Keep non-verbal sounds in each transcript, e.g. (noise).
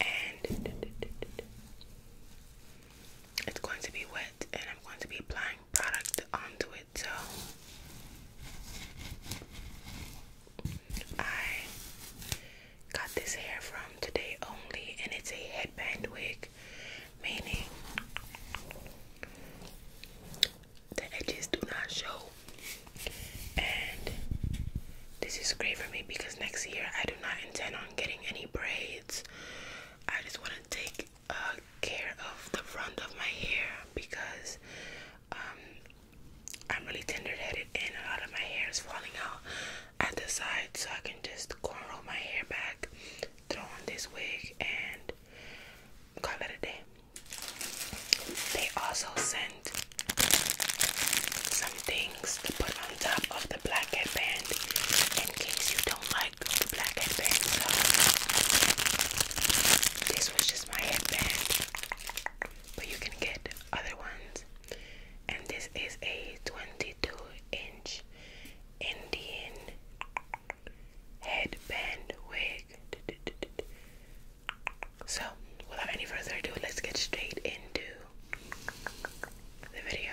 and it's going to be wet and I'm going to be applying product onto it so I got this hair from today only and it's a headband wig meaning the edges do not show and this is great for me because next year I do not intend on getting any braids. I just want to take uh, care of the front of my hair because um, I'm really tender-headed and a lot of my hair is falling out at the side, so I can just cornrow my hair back, throw on this wig, and call it a day. They also sent some things to put on top of the black headband in case you don't like black headband. this was just my headband, but you can get other ones. And this is a 22 inch Indian headband wig. So, without any further ado, let's get straight into the video.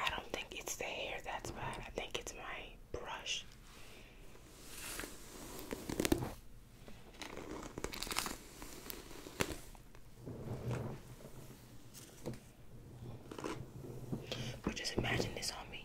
I don't think it's the hair that's bad. I think it's my brush. But just imagine this on me.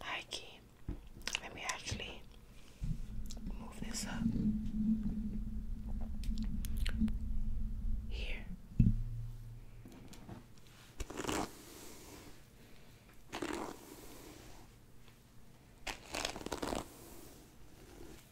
Hikey. Let me actually move this up. Here.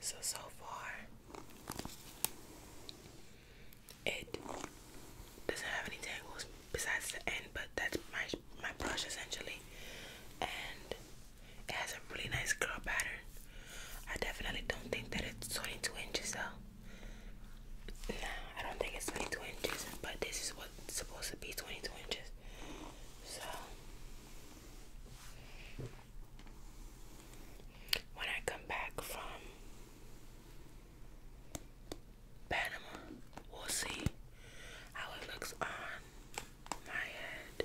So, so far, it doesn't have any tangles besides the end, but that's my, my brush essentially. And it has a really nice curl pattern. I definitely don't think that it's 22 inches though. Nah, I don't think it's 22 inches, but this is what's supposed to be 22 inches. So when I come back from Panama, we'll see how it looks on my head.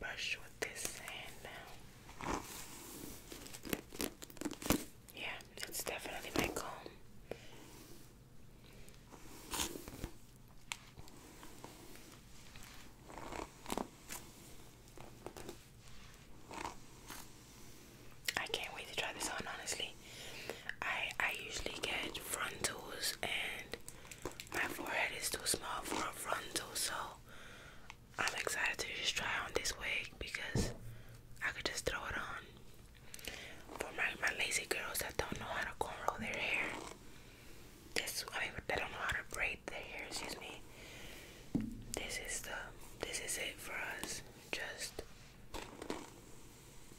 brush with this sand now. Yeah, it's definitely my comb. I can't wait to try this on, honestly. I I usually get frontals and my forehead is too small for a frontal, so I'm excited to just try on this wig because I could just throw it on. For my, my lazy girls that don't know how to cornrow their hair, this I mean they don't know how to braid their hair. Excuse me. This is the this is it for us. Just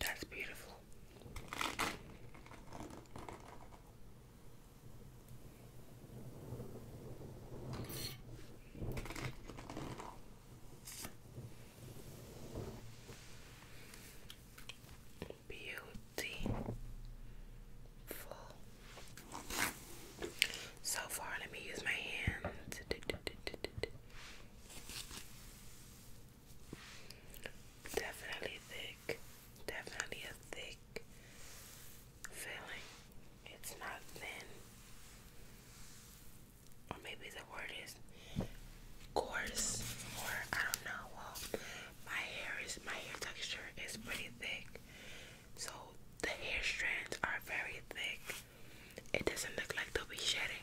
That's beautiful. Beautiful. So far, let me use my hands. Definitely thick. Definitely a thick feeling. It's not thin. Or maybe the word is coarse or I don't know. Well my hair is my hair texture is pretty thick. So the hair strands are very thick. It doesn't look like they'll be shedding.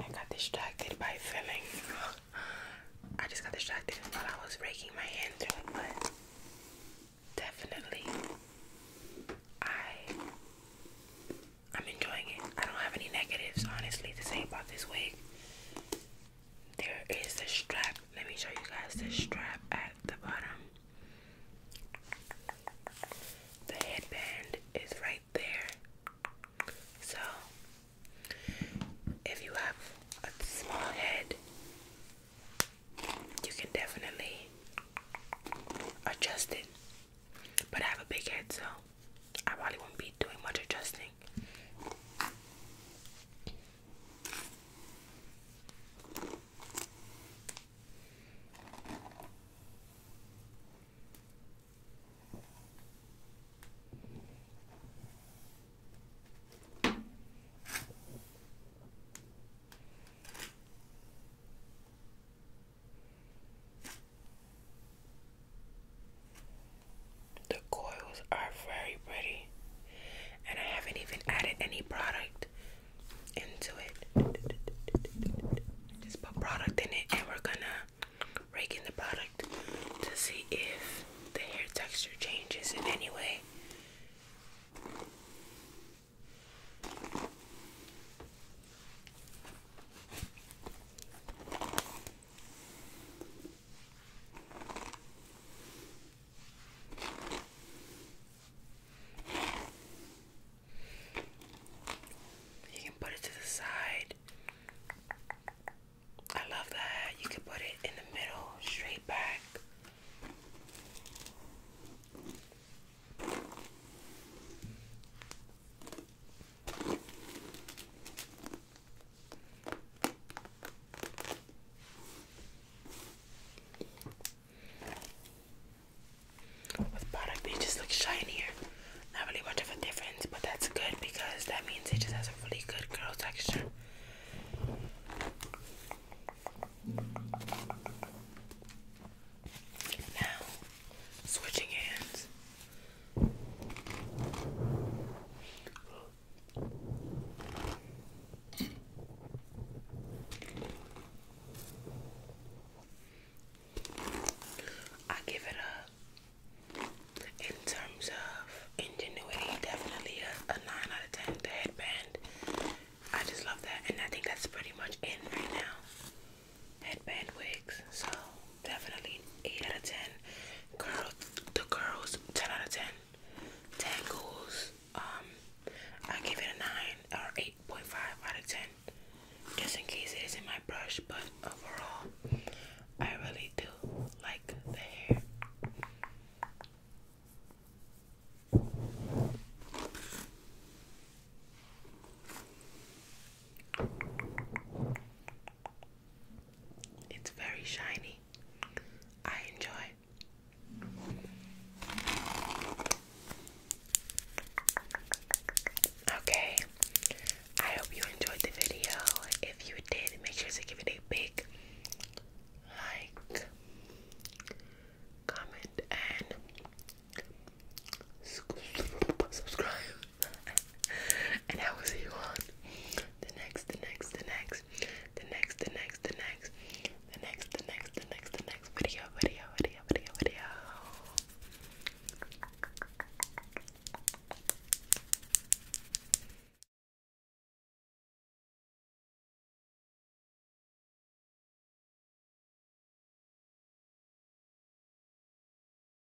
I got distracted by filming. I just got distracted while I was raking my hand through but definitely I I'm enjoying it. I don't have any negatives, honestly, to say about this wig. There is the strap. Let me show you guys the strap at the bottom. The headband is right there. So, if you have a small head, you can definitely adjust it but I have a big head, so I probably won't be doing much adjusting. The coils are very pretty, and I haven't even added any product into it. Just put product in it, and we're gonna rake in the product to see if the hair texture changes in any way. You can put it to the side. I love that. You can put it in the middle, straight back. With product, just look shinier. Not really much of a difference, but that's good because that means it just has a really good girl texture. Now, switching hands. I give it up in terms of ingenuity, definitely a, 9 out of 10. The headband, I just love that, and I think that's pretty much in right now. Headband wigs, so definitely 8 out of 10. Girl, the girls, 10 out of 10. Tangles, um, I give it a 9 or 8.5 out of 10. Just in case it isn't my brush, but overall, I really do like the hair. It's very shiny. I enjoy. Okay. I hope you enjoyed the video. If you did, make sure to give it a big like, comment, and subscribe. (laughs) and I will see you the next, the next, the next, the next, the next, the next, the next, the next, the next, the next video, video, video, video, video.